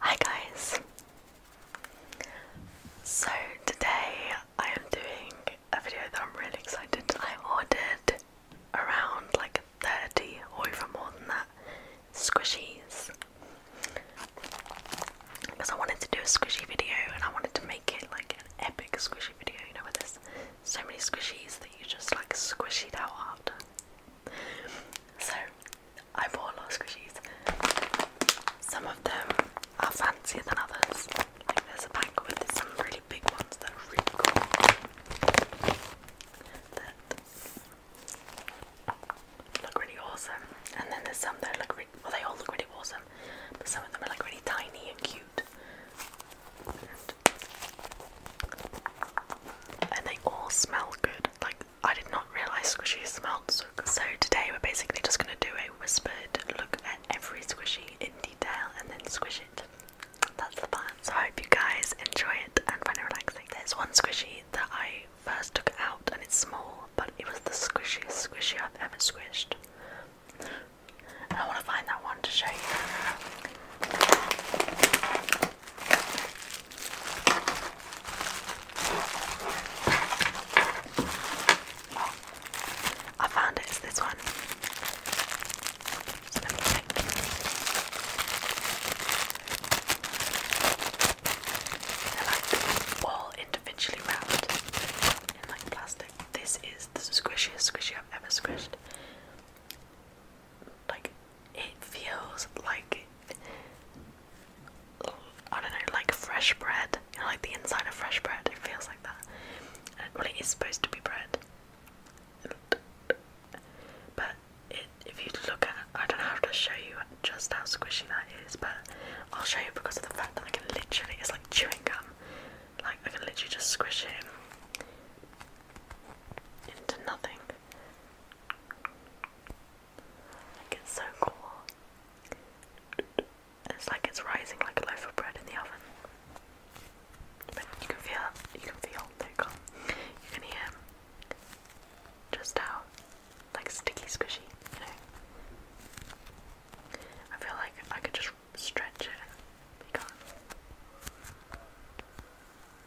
Hi guys! So today I am doing a video that I'm really excited. I ordered around like 30 or even more than that squishies because I wanted to do a squishy video and I wanted to make it like an epic squishy video, you know, where there's so many squishies that you just like squish it out So I bought a lot of squishies. Some of them are fancier than others. Like there's a pack with some really big ones that are really cool. look really awesome. And then there's some that look really well they all look really awesome. But some of them are like really tiny and cute. and they all smell good. Like I did not realise squishy smelt so So today we're basically just going to do a whispered look at every squishy in detail and then squish it. That's the plan. So I hope you guys enjoy it and find it relaxing. There's one squishy that I first took out and it's small, but it was the squishiest squishy I've ever squished. And I want to find that one to show you. I found it. It's this one. They're like all individually wrapped in like plastic. This is the squishiest squishy I've ever squished. Like it feels like I don't know, like fresh bread. like the inside of fresh bread. It feels like that. well, it is supposed to be bread. But if you look at it, I don't have to show you just how squishy that is, but I'll show you because of the fact that I can literally, it's like chewing gum. Like, I can literally just squish it into nothing it's so cool. It's like it's rising like a loaf of bread in the oven. But you can feel, you can feel, there you go. You can hear just how, like sticky, squishy, I feel like I could just stretch it. Because you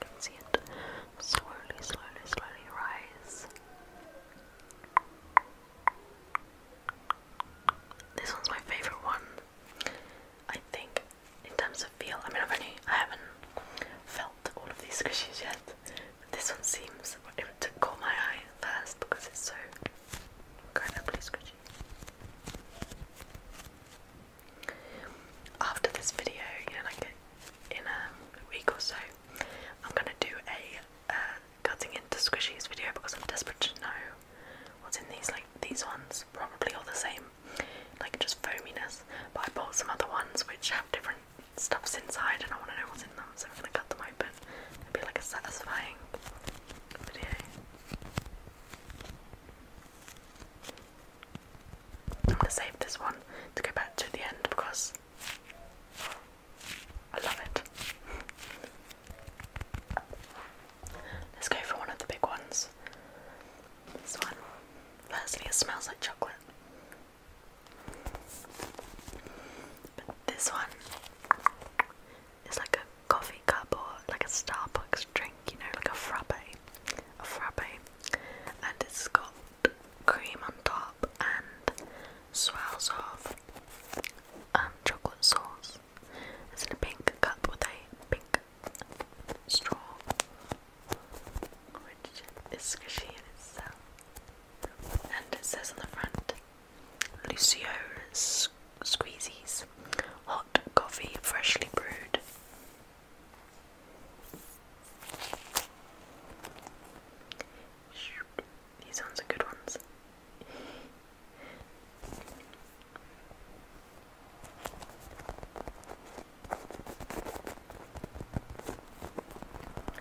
can see it slowly, slowly, slowly rise. This one's my favorite one. I think in terms of feel, I mean I've only I haven't felt all of these squishies yet. But this one seems to call my eye first because it's so after this video, you like in a week or so, I'm gonna do a uh, cutting into squishies video because I'm desperate to know what's in these. Like these ones, probably all the same, like just foaminess. But I bought some other ones which have different stuffs inside, and I want to know what's what so I'm gonna cut them open. It'll be like a satisfying video. I'm gonna save this one to go back to the end because I love it. Let's go for one of the big ones. This one. Firstly, it smells like chocolate. But this one it's like a coffee cup or like a Starbucks drink, you know, like a frappe, a frappe, and it's got cream on top and swirls of um, chocolate sauce. It's in a pink cup with a pink straw, which is squishy in itself, and it says on the front. Lucio's Squeezies. Hot coffee, freshly brewed. These ones are good ones.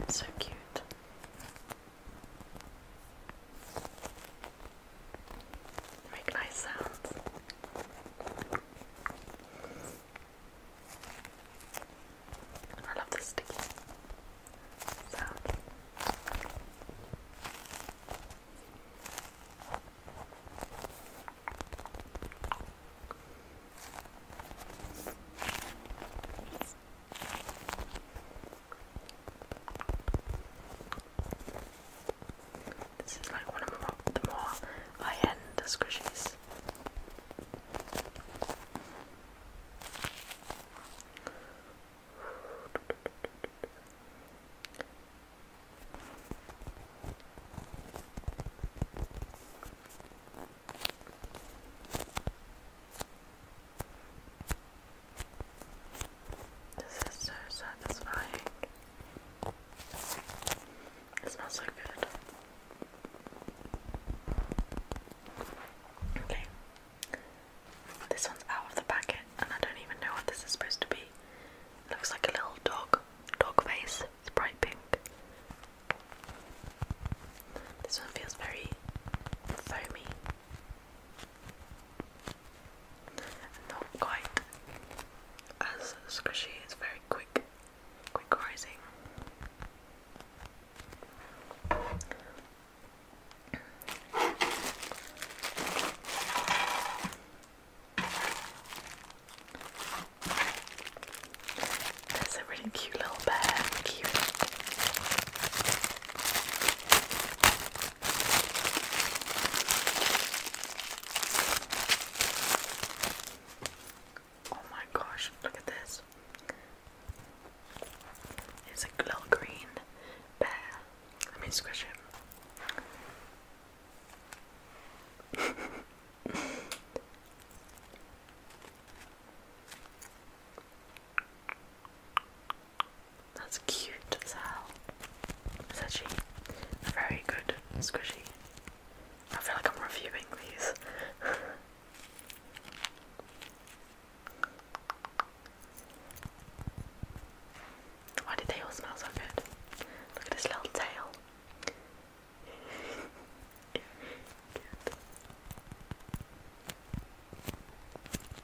So cute. They make nice sounds. I love the sticky sound. This is like one of the more high-end squishies. This is so satisfying. It smells so good. Okay. This one's out of the packet and I don't even know what this is supposed to be. looks like a little dog, dog face. It's bright pink. This one feels very foamy. Not quite as squishy, it's very quick, quick rising. There's a really cute little bear, Oh my gosh, look at this. It's a little green bear. Let me squish him. That's cute as hell. It's actually very good squishy. I feel like I'm reviewing these. Why did they all smell so good? Look at his little tail.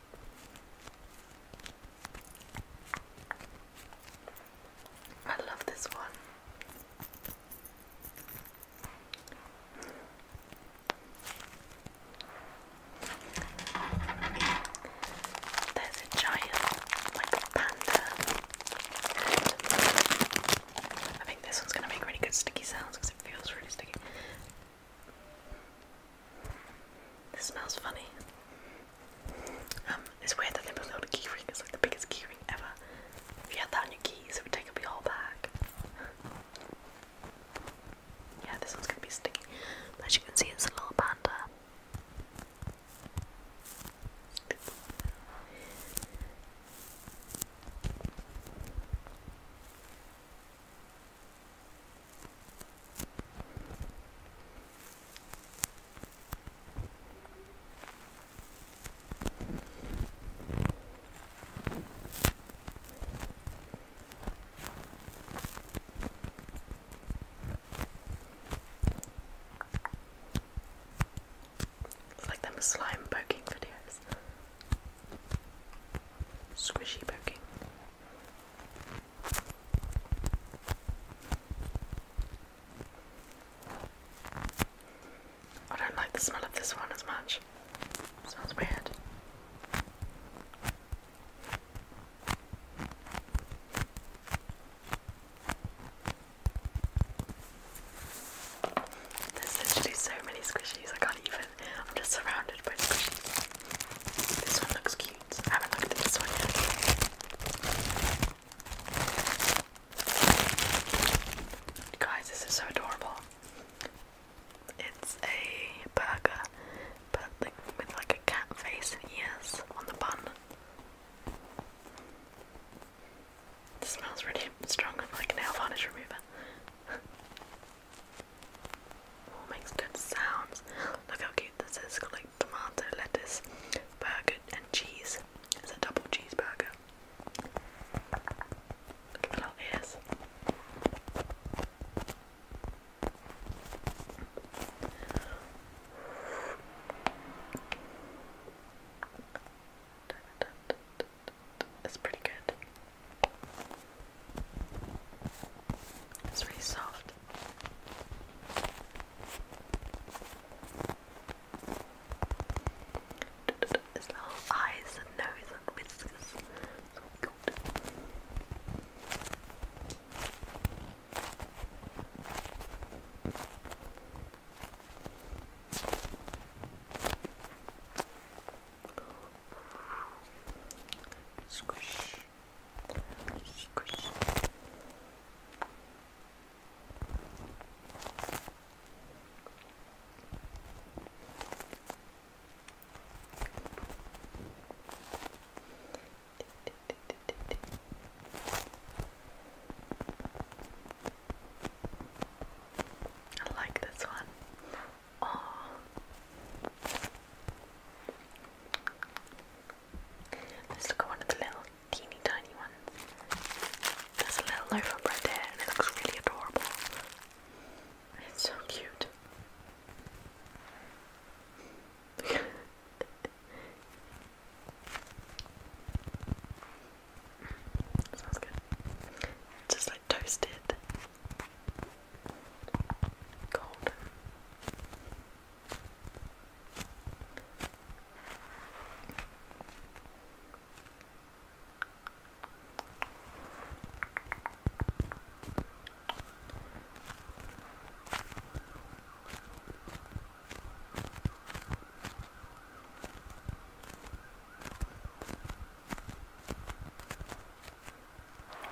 I love this one. There's a giant like panda. I think this one's gonna make really good sticky sounds because it feels really sticky. This smells funny. Um, it's weird that they put it a key It's like the biggest key ever. If you had that on your keys, it would take up your whole yeah, this one's gonna be sticky. as you can see, it's a little panda like them slime poking videos. Squishy poking. I don't like the smell of this one as much. It smells weird. There's literally so many squishies, I can't even. I'm just surrounded by squishies. This one looks cute. I haven't looked at this one yet. Guys, this is so adorable. It's a burger, but with like a cat face and ears on the bun. This smells really strong, like nail varnish remover. All makes good sounds. Look how cute this is. got like tomato, lettuce, burger, and cheese. It's a double cheeseburger. Look at the little ears. It's pretty good. It's really soft. His little eyes and nose and whiskers. So oh good. Squish. Squish. I like this one. Oh. Let's look at one of the little teeny tiny ones. There's a little loaf of bread there and it looks really adorable. It's so cute. Sounds good. Just toasted. Golden.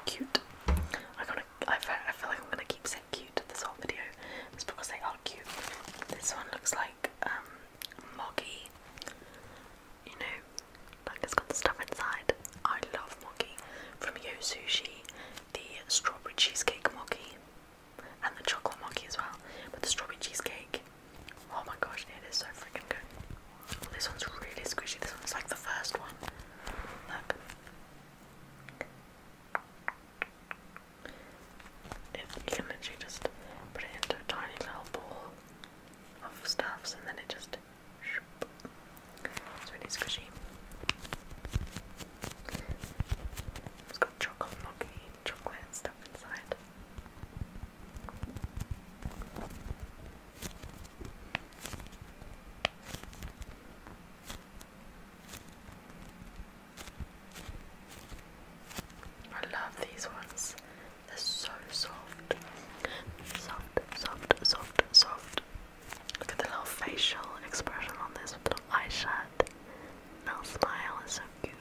Cute. I gonna. I feel, I feel like I'm gonna keep saying cute this whole video. It's because they are cute. This one looks like um moggy. You know, like it's got the stuff inside. I love moggy from Yo Sushi. The strawberry cheesecake moggy and the chocolate moggy as well. But the strawberry cheesecake. Oh my gosh, it is so freaking good. This one's really squishy. This one's like the first one. Look. you can literally just put it into a tiny little ball of stuffs and then it just. It's really squishy. It's got chocolate, milky chocolate stuff inside. I love these ones. They're so soft. Soft, soft, soft, soft. Look at the little facial expression on this little eye shut. Little smile is so cute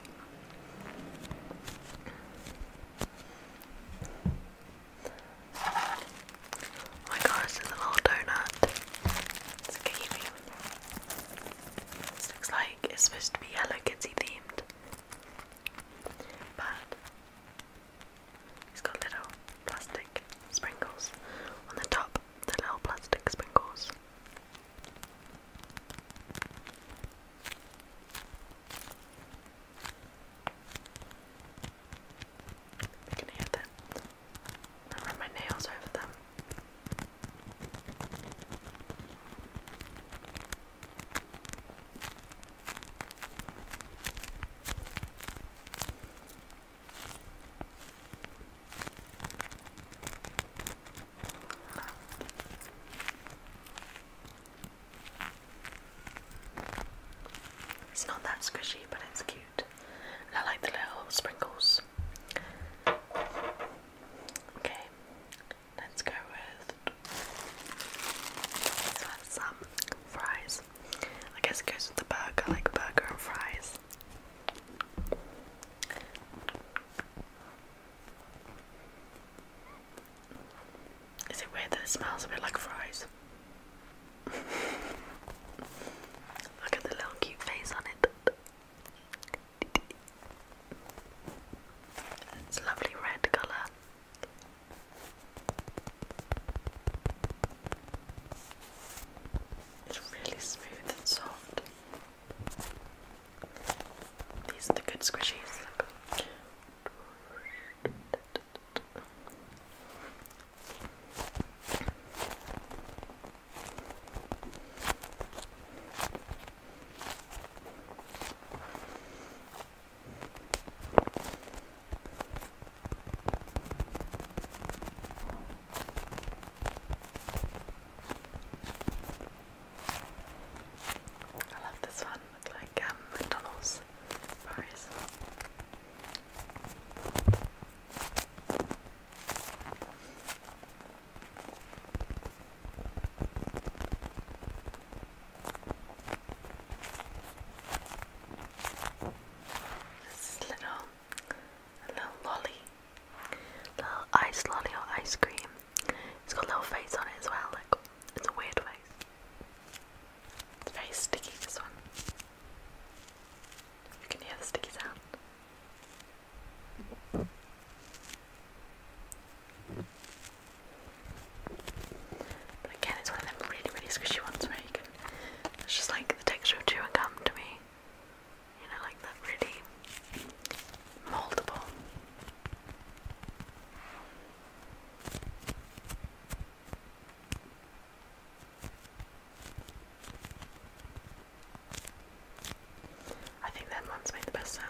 my gosh, there's a little donut. It's looks like it's supposed to be Hello Kitty themed. But it's got little plastic sprinkles on the top, the little plastic sprinkles. You can hear that. I run my nails over them. It's not that squishy, but it's cute. And I like the little sprinkles. Okay, let's go with some fries. I guess it goes with the burger, I like burger and fries. Is it weird that it smells a bit like fries? Look at the little cute face on it. It's lovely red colour. It's really smooth and soft. These are the good squishies. I love this one, like um, McDonald's This little, a little lolly, little ice lolly or ice cream. It's got a little face on it as well. Look, it's a weird face. It's very sticky, this one. You can hear the sticky sound. But again, it's one of them really, really squishy ones where you can. It's just like the texture of chewing gum to me. You know, like that really moldable. I think them ones made the best sound.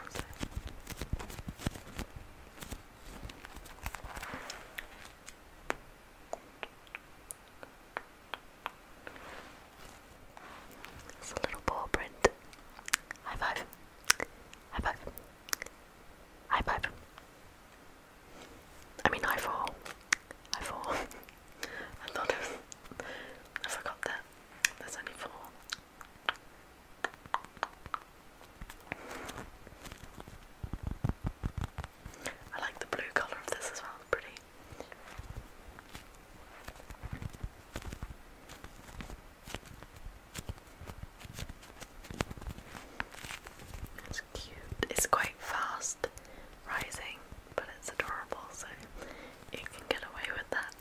It's a little paw print. High five. High five. High five. I mean, I fall. I fall. I thought I forgot that there's only four. I like the blue colour of this as well, pretty. It's cute. It's quite fast rising, but it's adorable, so you can get away with that.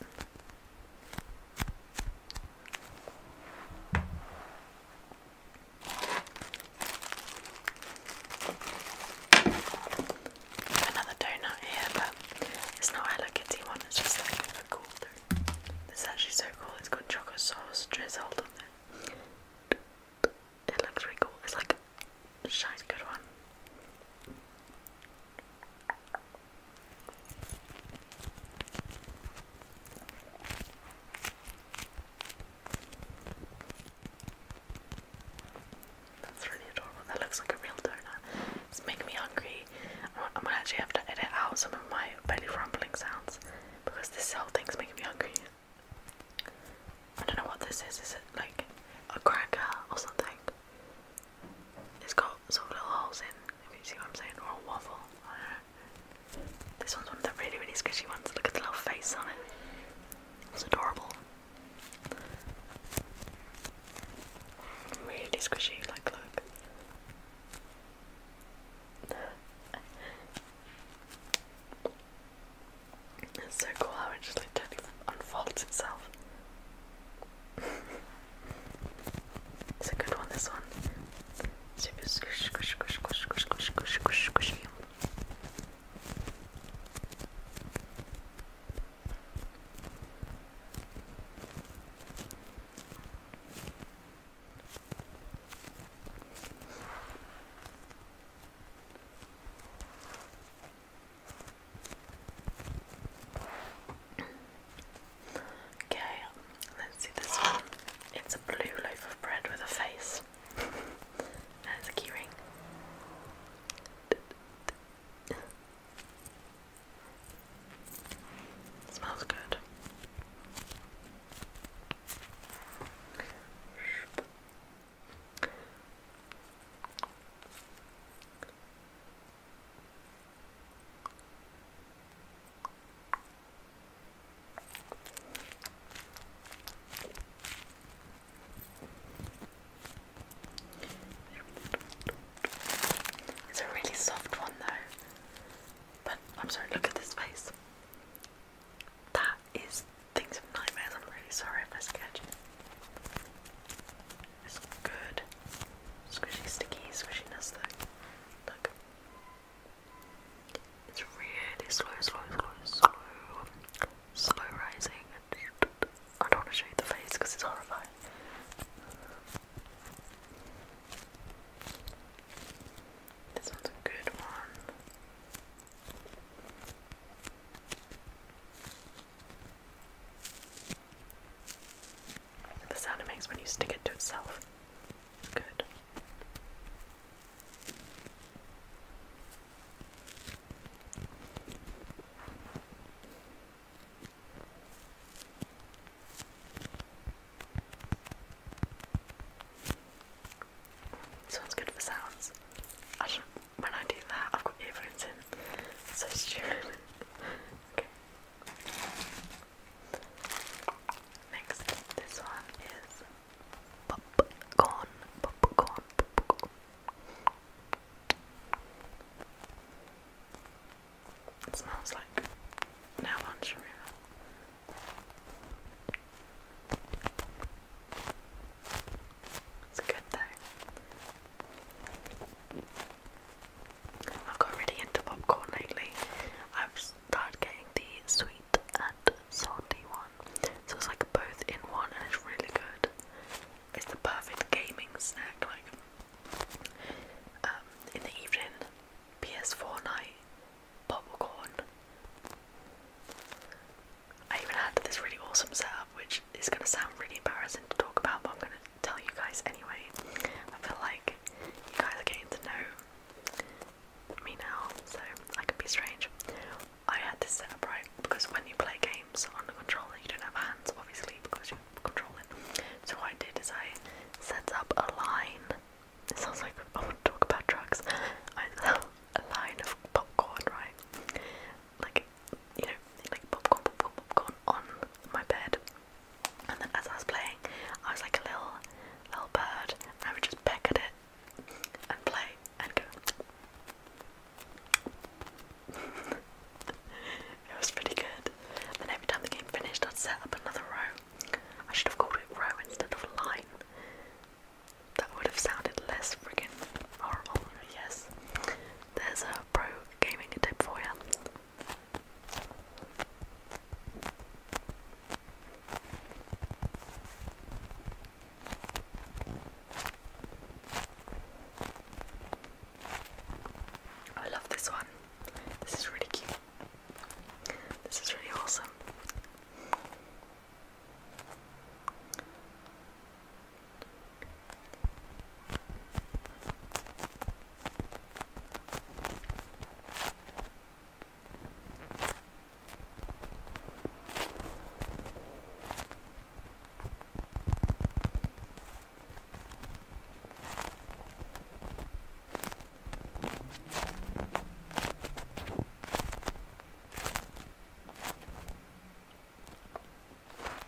Another donut here, but it's not Hello Kitty one, it's just like a cool thing. It's actually so cool, it's got chocolate sauce drizzled on there. It looks really cool. It's like a shiny good one. That's really adorable. That looks like a real donut. It's making me hungry. I'm gonna actually have to edit out some of my belly rumbling sounds because this whole thing's making me hungry. I don't know what this is. Is it like a cracker or something? It's got little holes in, you see what I'm saying, or a waffle. This one's one of the really, really squishy ones. Look at the little face on it. It's adorable. Really squishy, like, look. It's so cool how it just like totally unfolds itself. it's a good one, this one. Super squish, squish, squish, Okay, let's see this one. It's a blue loaf of bread with a face. and a key Smells good. It's a really soft one though. But I'm sorry, look at this face. That is Things of Nightmares. I'm really sorry if I sketch. It's good. Squishy, sticky, squishiness Look. It's really slow, slow, slow, slow, slow rising. I don't want to show you the face because it's horrifying. This one's a good one. The sound makes when you stick it to itself. good. This one's good for sounds. when I do that, I've got earphones in. So stupid. okay. Next, this one is popcorn, popcorn, popcorn. It smells like now lunch room. It's good though. I've got really into popcorn lately. I've started getting the sweet and salty one. So it's like both in one and it's really good. It's the perfect gaming snack, like um, in the evening PS4 night popcorn. I even had this really awesome setup, which is going to sound really embarrassing to talk about, but I'm going to tell you guys anyway. I feel like you guys are getting to know me now, so I could be strange. I had this setup right because when you play games on the controller, you don't have hands, obviously, because you're controlling. So, what I did is I set up a line it sounds like I want to talk about drugs. I love a line of popcorn, right? Like, you know, like popcorn, popcorn, popcorn on my bed. And then as I was playing, I was like a little, little bird, I would just peck at it and play and go. it was pretty good. Then every time the game finished, I'd set up another row I should have called it row instead of line. That would have sounded less friggin' horrible, yes. There's a pro gaming tip for you. I love this one. This is really cute. This is really awesome.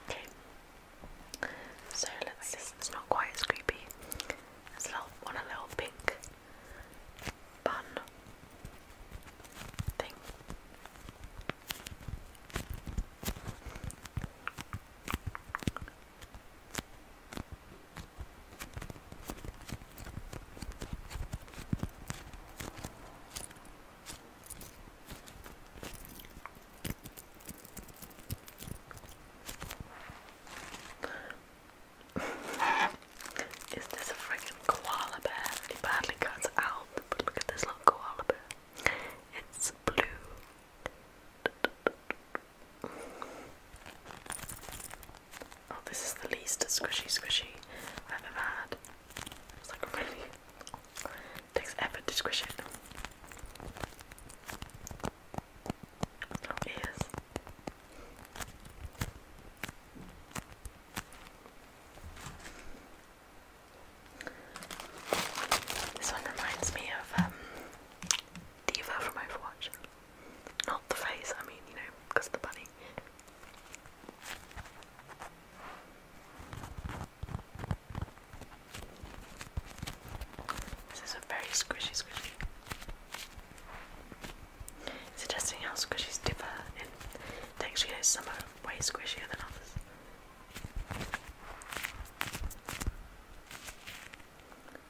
Okay. So let's see. It's not quite as creepy. There's a little one, a little pink bun thing. Is this a freaking koala bear? It badly cuts out, look at this little koala bear. It's blue. Oh, this is the least squishy squishy I've ever had. It's like really takes effort to squish it. Oh, ears. This one reminds me of Diva um, from Overwatch. Not the face, I mean, you know, because of the bunny. This is a very squishy squishy. Suggesting how squishies differ in texture, you know, some are way squishier than others.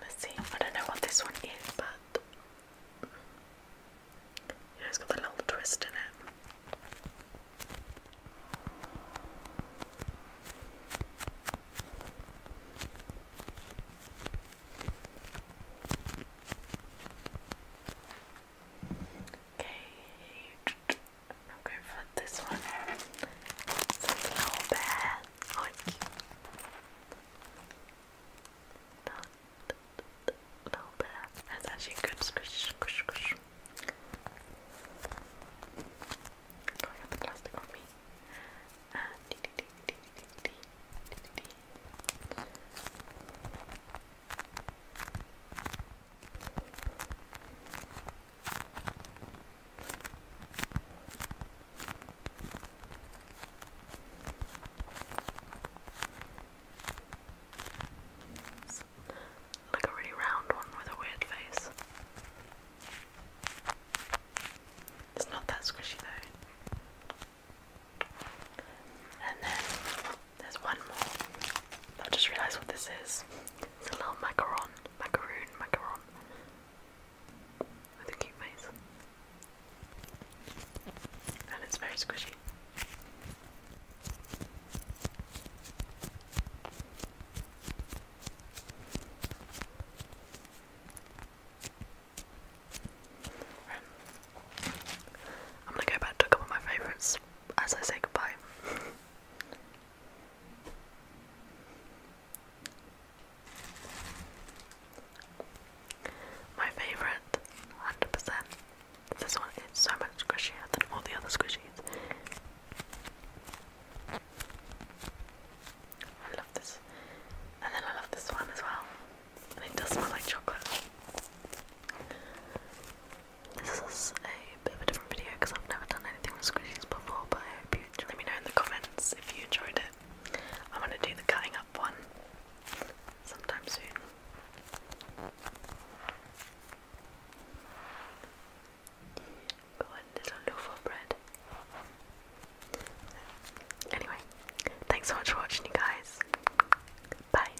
Let's see. I don't know what this one is, but it's got a little twist in it. Okay, i for this one. It's a little bit like little bit. That's actually good. Squish, squish, squish. Oh, I got the plastic on me. And dee dee dee like a really round one with a weird face. It's not that squishy though. And then there's one more. I've just realised what this is. It's a little macaron. Macaroon, macaron. With a cute face. And it's very squishy. I'm gonna go back to a couple of my favourites as I say goodbye. My favourite, 100%. This one is so much squishier than all the other squishies. I love this. And then I love this one as well. And it does smell like chocolate. This is a bit of a different video because I've never done anything with squishies before, but I hope you Let me know in the comments if you enjoyed it. I'm gonna do the cutting up one sometime soon. Go a little loaf of bread. Anyway, thanks so much for watching, you guys. Bye.